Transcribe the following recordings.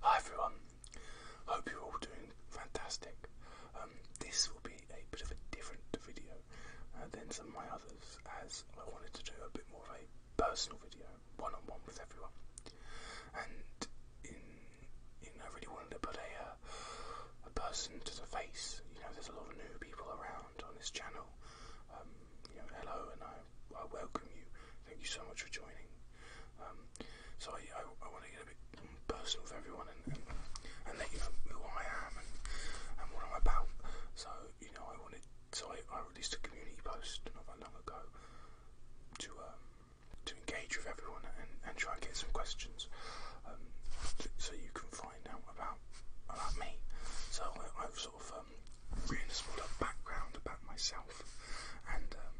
Hi everyone, hope you're all doing fantastic. Um, this will be a bit of a different video uh, than some of my others as I wanted to do a bit more of a personal video, one on one with everyone. And in, you know, I really wanted to put uh, a, person to the face. You know, there's a lot of new people around on this channel. Um, hello, and I, welcome you. Thank you so much for joining. Um, so I, want to get a bit personal with everyone and, let you know who I am and, what I'm about. So you know, I wanted. So I, released a community post not that long ago to um, to engage with everyone and, try and get some questions. Um, so you can find out about about me. So I, have sort of um, a smaller background about myself, and um,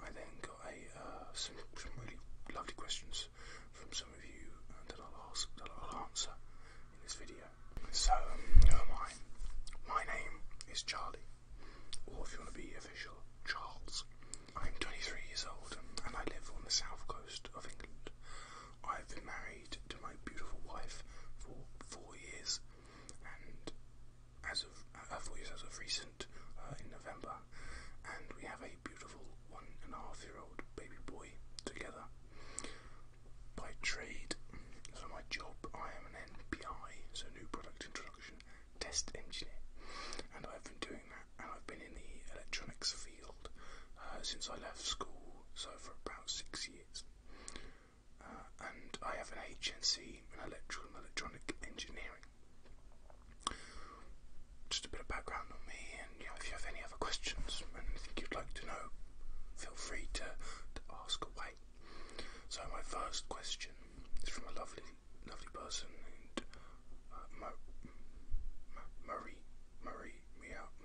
I then got a uh, some, really lovely questions from some of you uh, that I'll ask that I'll answer in this video. So, who am I? My name is Charlie, or if you want to be official, Charles. I'm 23 years old, um, and I live on the south coast of England. I've been married to my beautiful wife for four years, and as of uh, voice as of recent uh, in November, and we have a beautiful one and a half year old baby boy together. By trade, so my job, I am an NPI, so new product introduction test engineer, and I've been doing that, and I've been in the electronics field uh, since I left school, so for about six years. Uh, and I have an HNC in electrical and electronic engineering. Just a bit of background on me, and if you have any other questions and anything you'd like to know, feel free to, to ask away. So my first question is from a lovely, lovely person named uh, Marie, Marie, Marie,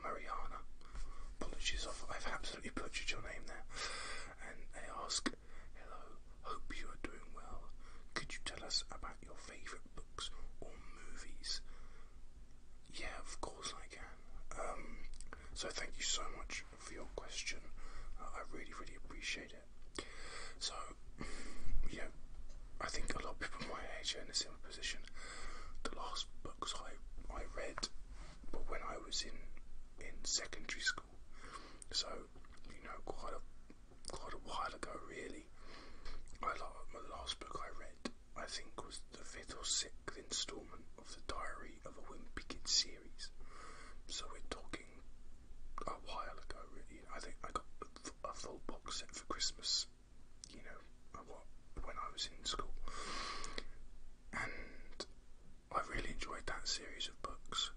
Mariana. Apologies, I've, absolutely butchered your name there. And they ask, Hello, hope you are doing well. Could you tell us about your favourite books or movies? Yeah, of course I can. Um, so thank you so much for your question. Uh, I really, really appreciate it. So, you I think a lot of people my age are in a similar position. The last books I I read but when I was in in secondary school, so you know quite a quite a while ago really. I my last book I read I think was the fifth or sixth instalment of the Diary of a Wimpy Kid series. So we're talking a while ago. Really. I think I got a, full box set for Christmas. You know, when I was in school, and I really enjoyed that series of books.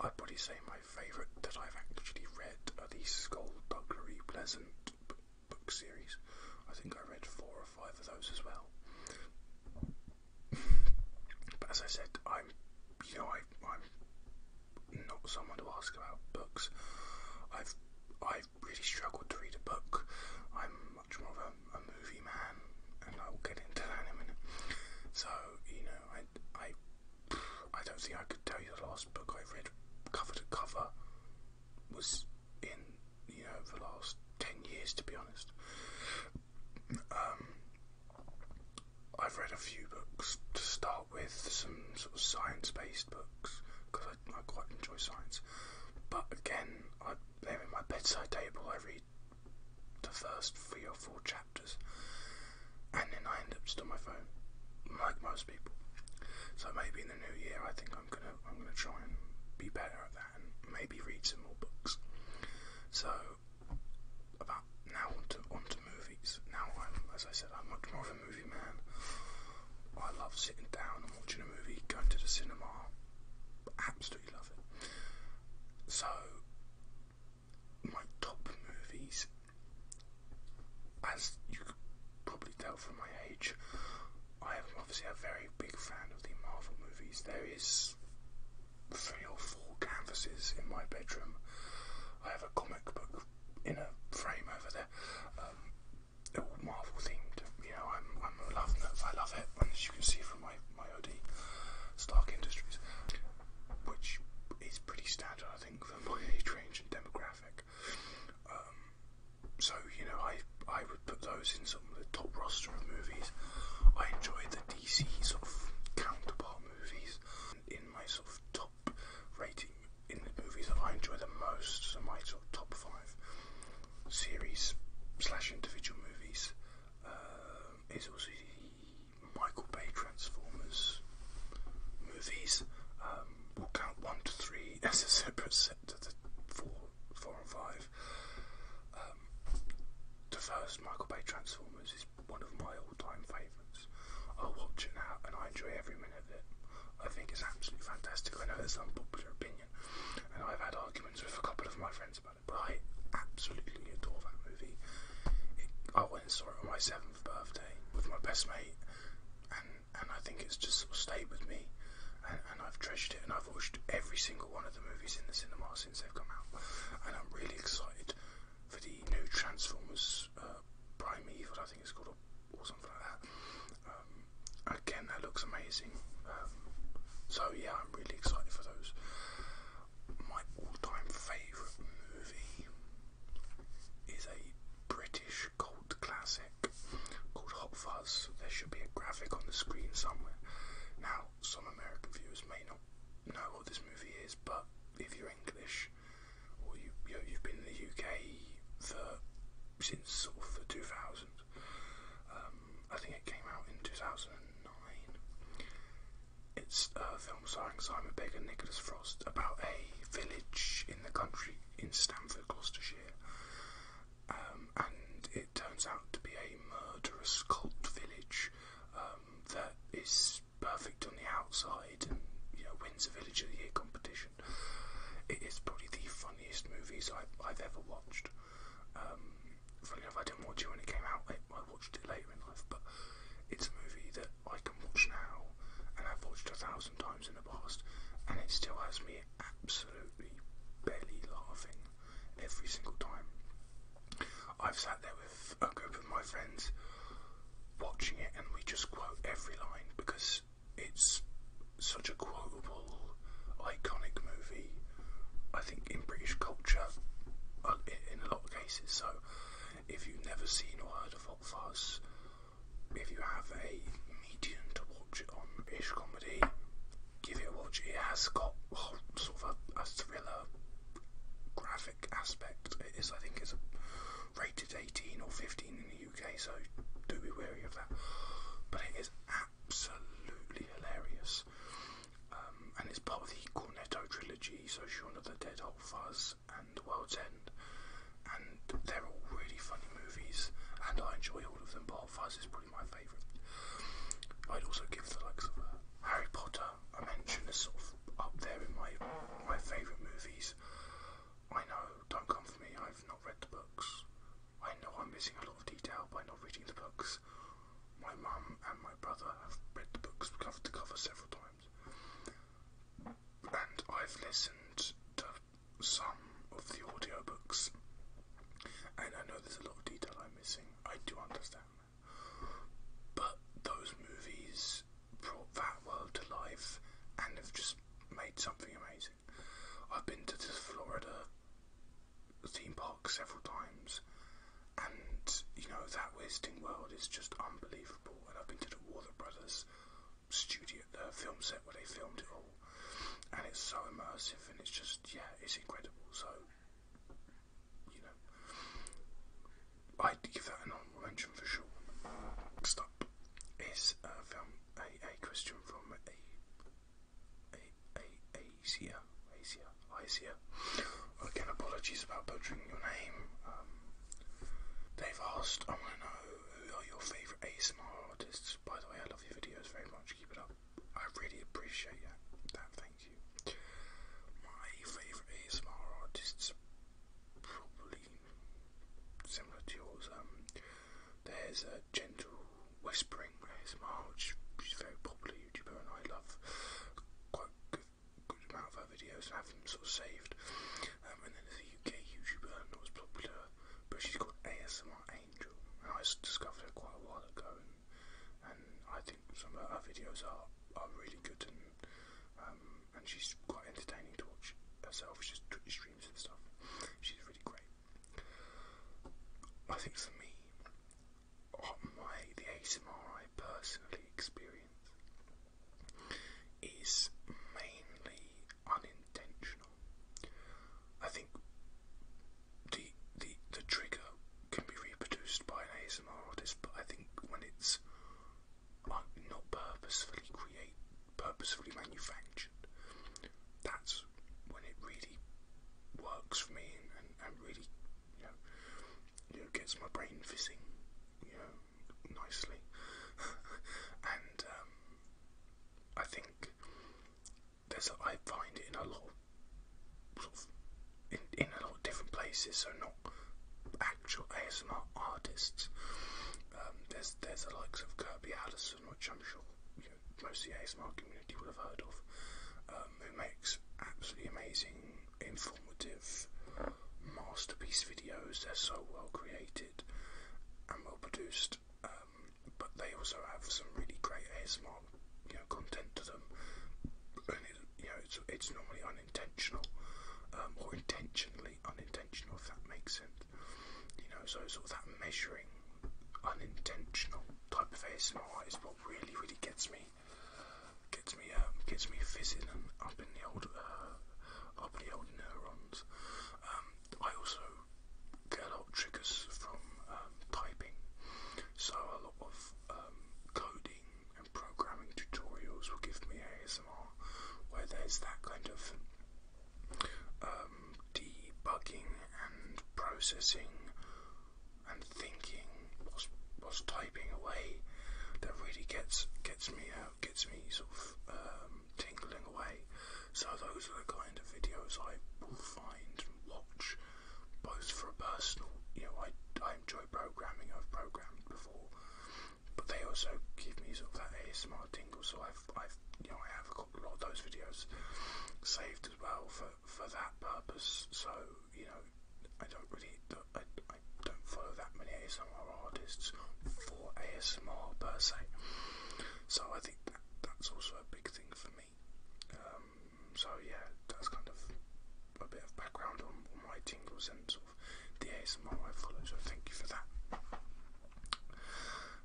I'd probably say my favourite that I've actually read are the Skullduggery Pleasant book series. I think I read four or five of those as well. but as I said, I'm, you know, I, am not someone to ask about books. I've, I've really struggled to read a book much more of a, movie man, and I will get into that in a minute. So you know, I I I don't think I could tell you the last book I read cover to cover was in you know the last ten years, to be honest. Um, I've read a few books to start with, some sort of science-based books because I quite enjoy science. But again, I there, in my bedside table. I read the first three or four chapters, and then I end up just on my phone, like most people. So maybe in the new year, I think I'm gonna I'm gonna try and be better at that, and maybe read some more books. So about now onto onto movies. Now I'm, as I said, I'm much more of a movie man. I love sitting down and watching a movie, going to the cinema, absolutely love it. So, my top movies, as you could probably tell from my age, I am obviously a very big fan of the Marvel movies. There is three or four canvases in my bedroom. I have a comic book in a frame over there. Um, they're all Marvel themed. You know, I'm I'm loving it. I love it, and as you can see from my my hoodie, Stark Industries, which is pretty standard, I think, for my age range and demographic. Um, so you know, I I would put those in some of the top roster of movies. I enjoy the DC sort of counterpart movies in my sort of top rating in the movies that I enjoy the most. So my sort of top five series slash individual movies um, is also the Michael Bay Transformers movies. Um, we'll count one to three as a separate set to the four, four and five. Um, the first Michael Bay Transformers is one of my all-time favourites. I watch it now and I enjoy every minute of it. I think it's absolutely fantastic. I know that's an unpopular opinion. And I've had arguments with a couple of my friends about it, but I absolutely adore that movie. I went and saw it on my seventh birthday with my best mate, and and I think it's just sort of stayed with me, and, I've treasured it, and I've watched every single one of the movies in the cinema since they've come out, and I'm really excited for the new Transformers uh, Prime Primeval, I think it's called, or something like that. Um, again, that looks amazing. Um, so yeah, I'm really excited for those. My all-time favourite movie is a British cult classic called Hot Fuzz. There should be a graphic on the screen somewhere. Now, some American viewers may not know what this movie is, but if you're English or you, you have been in the UK for since sort of the 2000 um, I think it came out in 2009. It's a film starring Simon Pegg and Nicholas Frost about a village in the country in Stamford, Gloucestershire. Um, and it turns out to be a murderous cult village um, that is perfect on the outside and wins the village of the year competition. It is probably the funniest movies I've, I've ever watched. Um, funny enough, I didn't watch it when it came out. I, watched it later in life, but it's a movie that I can watch now, and I've watched a thousand times in the past, and it still has me absolutely belly laughing every single time. I've sat there with a group of my friends watching it, and we just quote every line because it's such a quotable, iconic movie. I think in British culture, uh, in a lot of cases. So, if you've never seen or heard of Hot Fuzz, if you have a medium to watch it on ish comedy, give it a watch. It has got sort of a, thriller graphic aspect. It is, I think, it's rated 18 or 15 in UK, so do be wary of that. But it is absolutely hilarious, um, and it's part of the Cornetto trilogy, so Shaun of the Dead, Old Fuzz, and The World's End. And they're all really funny movies, and I enjoy all of them. But Old Fuzz is probably my favourite. I'd also give the likes of uh, Harry Potter a mention as sort of up there in my my favourite movies. I know, don't come for me. I've I've not read the books. I know I'm missing a lot of detail by not reading the books. My mum and my brother have read the books cover to cover several times. And I've listened to some of the audio books. And I know there's a lot of detail I'm missing. I do understand But those movies brought that world to life and have just made something amazing. I've been to this Florida theme park several times, and you know that Wizarding World is just unbelievable. And I've been to the Warner Brothers studio, the film set where they filmed it all, and it's so immersive, and it's just yeah, it's incredible. So you know, I'd give that an honorable mention for sure. Next is a uh, film, a, a from a, a, a, Asia, Asia, Asia. Again, apologies about butchering your name. Um, they've asked, I want to know who are your favourite ASMR artists. By the way, I love your videos very much. Keep it up. I really appreciate that. that thank you. My favourite ASMR artists probably similar to yours. Um, there's a gentle whispering ASMR, which is very popular YouTuber, and I love quite good, amount of her videos and have them sort of saved. Um, and then there's a UK YouTuber, not was popular, but she's called ASMR Angel, and I discovered her quite a while ago. And, I think some of her videos are, are really good and um, and she's quite entertaining to watch herself. She just streams and stuff. She's really great. I think for me, uh, my the ASMR I personally experience is mainly unintentional. I think the the the trigger can be reproduced by an ASMR artist, but I think when it's like not purposefully created purposefully manufactured. That's when it really works for me and, and, really, you know, you gets my brain fizzing, you know, nicely. and um, I think there's a, I find it in a lot of, of in, in a lot of different places, so not actual ASMR artists. Um, there's there's the likes of Kirby Addison, which I'm sure most of the ASMR community will have heard of, um, who makes absolutely amazing, informative masterpiece videos. They're so well created and well produced, um, but they also have some really great ASMR you know content to them, and you know it's it's normally unintentional or intentionally unintentional, if that makes sense. You know, so sort of that measuring unintentional type of ASMR is what really, really gets me, gets me, um, gets me fizzing up in the old, uh, up in the old neurons. Um, I also get a lot of triggers from um, typing, so a lot of um, coding and programming tutorials will give me where there's that kind of um, debugging and processing and thinking whilst, whilst typing away that really gets gets me out, gets me sort of um, tingling away. So those are the kind of videos I will find and watch, both for a personal, you know, I, I enjoy programming, I've programmed before, but they also give me sort of that ASMR tingle. So I've, I've, you know, I have got a lot of those videos saved as well for for that purpose. So you know, I don't really, I, I don't follow that many ASMR artists for ASMR per se. So I think that that's also a big thing for me. Um, so yeah, that's kind of a bit of background on, on my tingles and sort the ASMR I follow, so thank you for that.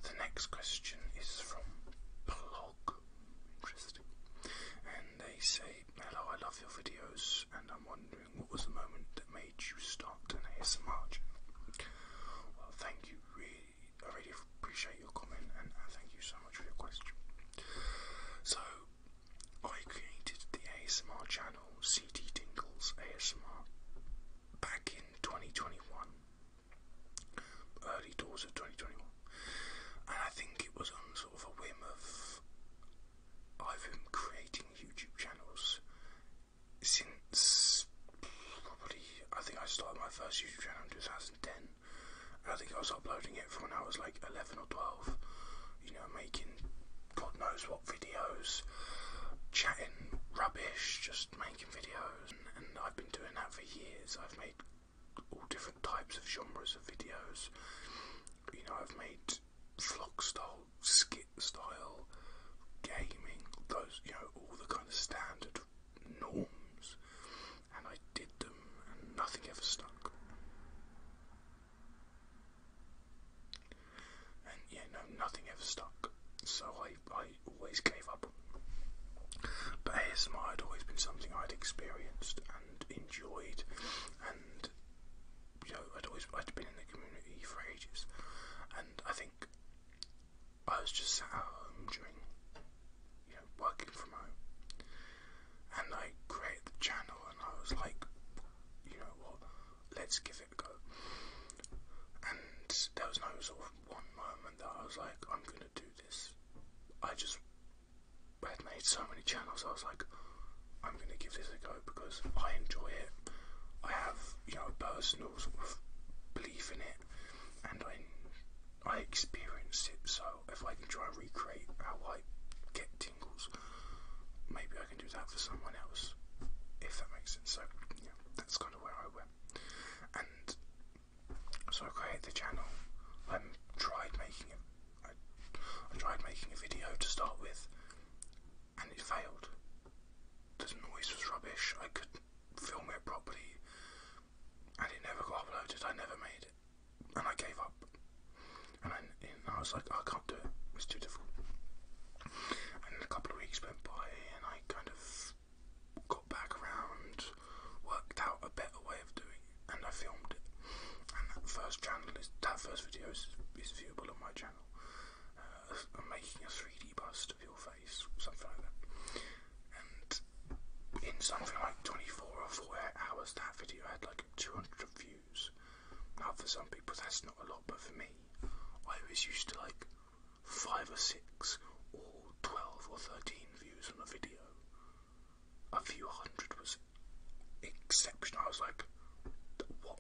The next question is from Blog. Interesting. And they say, Hello, I love your videos, and I'm wondering what was the moment that made you start an ASMR Well, thank you. Really, I really appreciate your comment, and thank you so much for your question. So, I created the ASMR channel channel CT Dingles ASMR back in 2021, early doors of 2021, and I think it was on sort of a whim of I've been creating YouTube channels since probably I think I started my first YouTube channel in 2010. I think I was uploading it from when I was like 11 or 12, you know, making God knows what videos, chatting rubbish, just making videos, and I've been doing that for years. I've made all different types of genres of videos. You know, I've made vlog style, skit style, gaming, those, you know, all the kind of standard norms, and I did them, and nothing ever stuck. And yeah, no, nothing ever stuck. So I, I always gave up. But ASMR had always been something I'd experienced and enjoyed, and you know, I'd always I'd been in the community for ages, and I think I was just sat at home during, you know, working from home, and I created the channel, and I was like, you know what, let's give go. And there was no sort of one moment that I was like, I'm gonna do this. I just had made so many channels, I was like, I'm gonna give this a go because I enjoy it. I have, you know, personal sort of belief in it and I I experience it so if I can try and recreate how I get Maybe I can do that for someone else, if that makes sense. So that's kind of where I went. And so I created the channel. I tried making it. I tried making a video to start with, and it failed. The noise was rubbish. I couldn't film it properly, and it never got uploaded. I never made it, and I gave up. And I, was like, oh, I can't do it. It's too difficult. And a couple of weeks went by, and I kind of got back around, worked out a better way of doing it, and I filmed it. And that first channel is that first video is, viewable on my channel. Uh, I'm making a 3D bust of your face, something like that. And in something like 24 or 48 hours, that video had like 200 views views. Now, for some people, that's not a lot, but for me, I was used to like five or six or 12 or 13 views on a video. A few hundred was exceptional. I was like, what?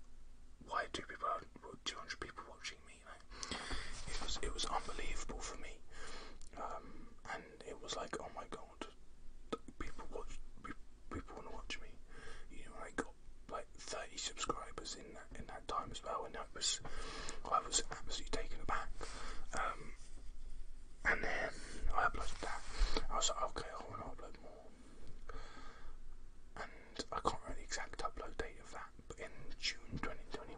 Why do people have 200 people watching me? Like, it was it was unbelievable for me, um, and it was like, oh my god, people watch people want to watch me. You know, I got like 30 subscribers in that in that time as well, and that was I was absolutely taken aback. Um, and then I uploaded that. I was like, okay, I want to upload more. And I can't remember the exact upload date of that, but in June 2021,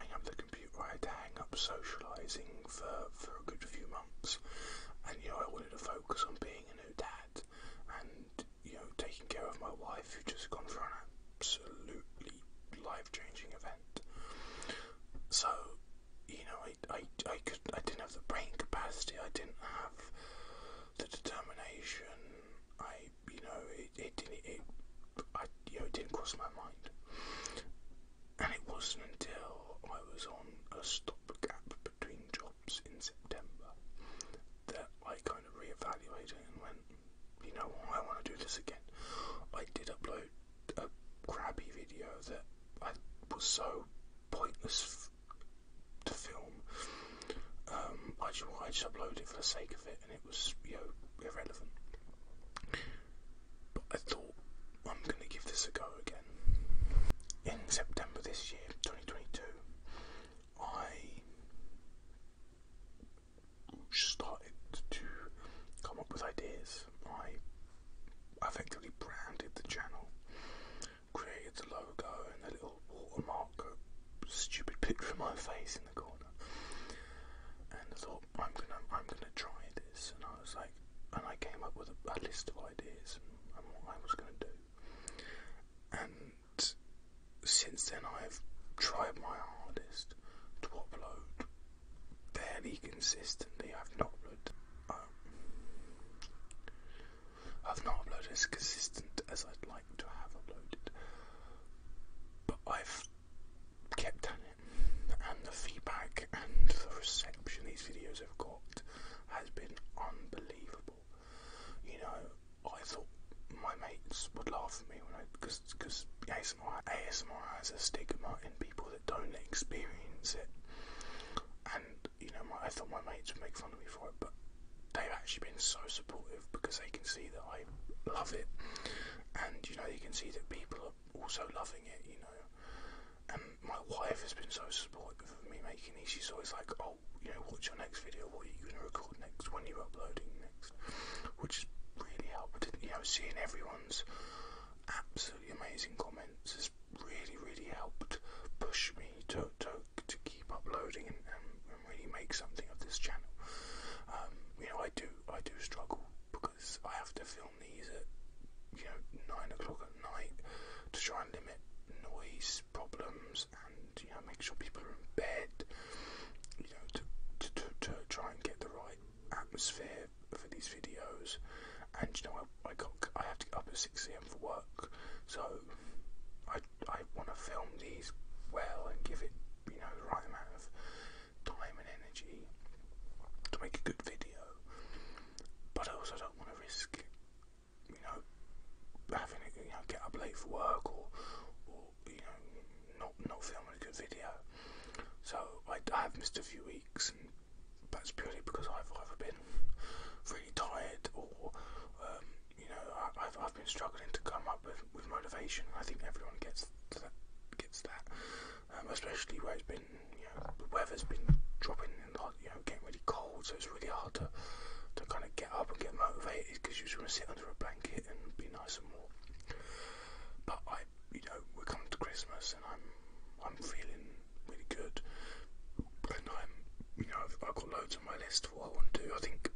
hang up the computer, I had to hang up socialising for, for a good few months. And you know, I wanted to a focus on being a new dad and you know taking care of my wife who just gone through an absolutely life-changing event. So you know, I I I could I didn't have the brain capacity. I didn't have the determination. I you know it it didn't it I you know it didn't cross my mind. And it wasn't until I was on a stopgap between jobs in September that I kind of reevaluated and went, you know I want to do this again. I did upload a crappy video that I was so pointless to film. Um, I just, I just uploaded it for the sake of it, and it was you know irrelevant. But I thought I'm going to give this a go again. In September this year, 2022, I started to come up with ideas. I effectively branded the channel, created a logo and a little watermark, stupid picture of my face in the corner, and I thought I'm gonna I'm gonna try this. And I was like, and I came up with a, list of ideas and what I was going to do. And since then, I've tried my hardest to upload fairly consistently. I've not uploaded. Um, I've not uploaded as consistent as I'd like to have uploaded, but I've kept at it, and the feedback and the reception these videos have got support has been unbelievable. You know, I thought my mates would laugh at me when I because because ASMR ASMR has a stigma in people that don't experience it, and you know, my, I thought my mates would make fun of me for it, but they've actually been so supportive because they can see that I love it, and you know, you can see that people are also loving it, you know. And my wife has been so supportive of me making these. She's always like, "Oh, you know, watch your next video? What are you going to record next? When you are uploading next?" Which has really helped. You know, seeing everyone's absolutely amazing comments has really, really helped push me to to, to keep uploading and, and, really make something of this channel. Um, you know, I do I do struggle because I have to film these at you know nine o'clock at night to try and limit noise problems and you know make sure people are in bed. You know to to to, try and get the right atmosphere for these videos. And you know I, I got I have to get up at six a.m. for work, so I I want to film these well and give it you know the right amount of time and energy to make a good video but I also don't want to risk, you know, having it, get up late for work or, you know, not not filming a good video. So I, have missed a few weeks, but it's purely because I've either been really tired or, um, you know, I, have I've been struggling to come up with, with motivation. I think everyone gets gets that. Um, especially where it's been, you know, the weather's been dropping and getting really cold, so it's really hard to to kind of get up and get motivated because you just want to sit under a blanket and be nice and warm. But I, you know, we're coming to Christmas and I'm I'm feeling really good, and I'm, you know, I've, got loads on my list for what I want to do. I think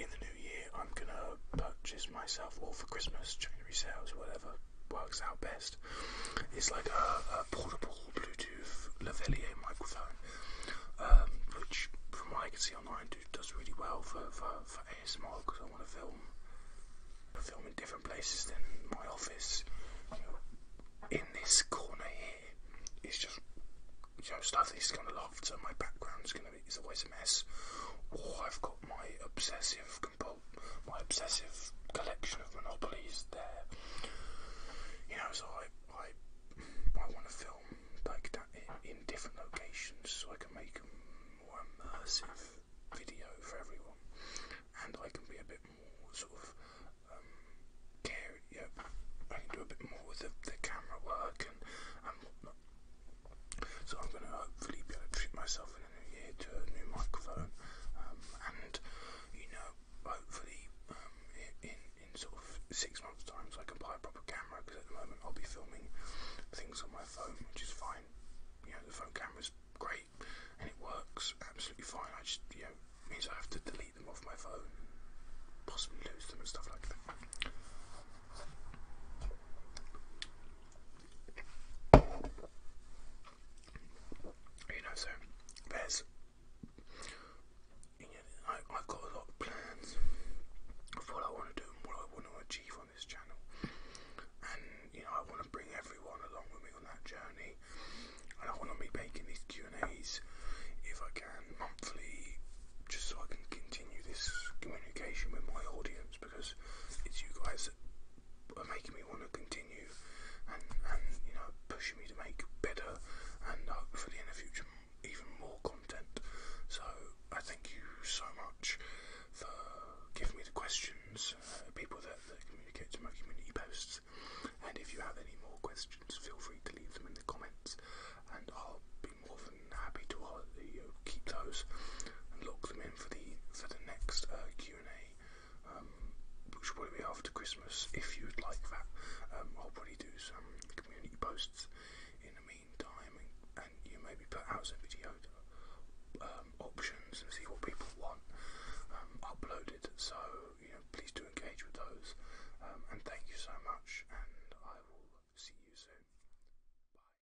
in the new year I'm gonna purchase myself, all for Christmas, January sales, whatever, works out best. It's like a, portable Bluetooth Lavalier microphone, um, which, from what I can see online, does really well for, for, for ASMR because I want to film, film in different places than my office. in this corner here, it's just you know, stuff that's gonna loft, so my background's gonna be is always a mess. Or I've got my obsessive my obsessive collection of monopolies there. You know, so I I I want to film like that in, different locations so I can make a more immersive video for everyone, and I can be a bit more sort of um, care. Yeah, I can do a bit more with the, the camera work and and whatnot. So I'm going to hopefully be able to treat myself in the new year to a new microphone, um, and you know, hopefully um, in in sort of six months' time, so I can buy a proper camera. Because at the moment, I'll be filming things on my phone, which is fine. You know, the phone camera's great and it works absolutely fine. I just you know means I have to delete them off my phone, possibly lose them and stuff like that. You know, so there's. I, i got a lot of plans of what I want to do and what I want to achieve on this channel, and you know, I want to bring everyone along with me on that journey, and I want to be making these Q and A's if I can monthly, just so I can continue this communication with my audience it's you guys that are making me want to continue and, you know pushing me to make better and hopefully uh, in the future even more content. So I thank you so much for giving me the questions, uh, people that, that communicate to my community posts, and if you have any more questions, feel free to leave them in the comments, and I'll be more than happy to uh, answer you keep those and lock them in for the for the next uh, Q and A, um, which will be after Christmas. If you'd like that, um, I'll probably do some community posts in the meantime, and, and you maybe put out some video um, options and see what people want uploaded. So please do engage with those. and thank you so much, and I will see you soon. Bye.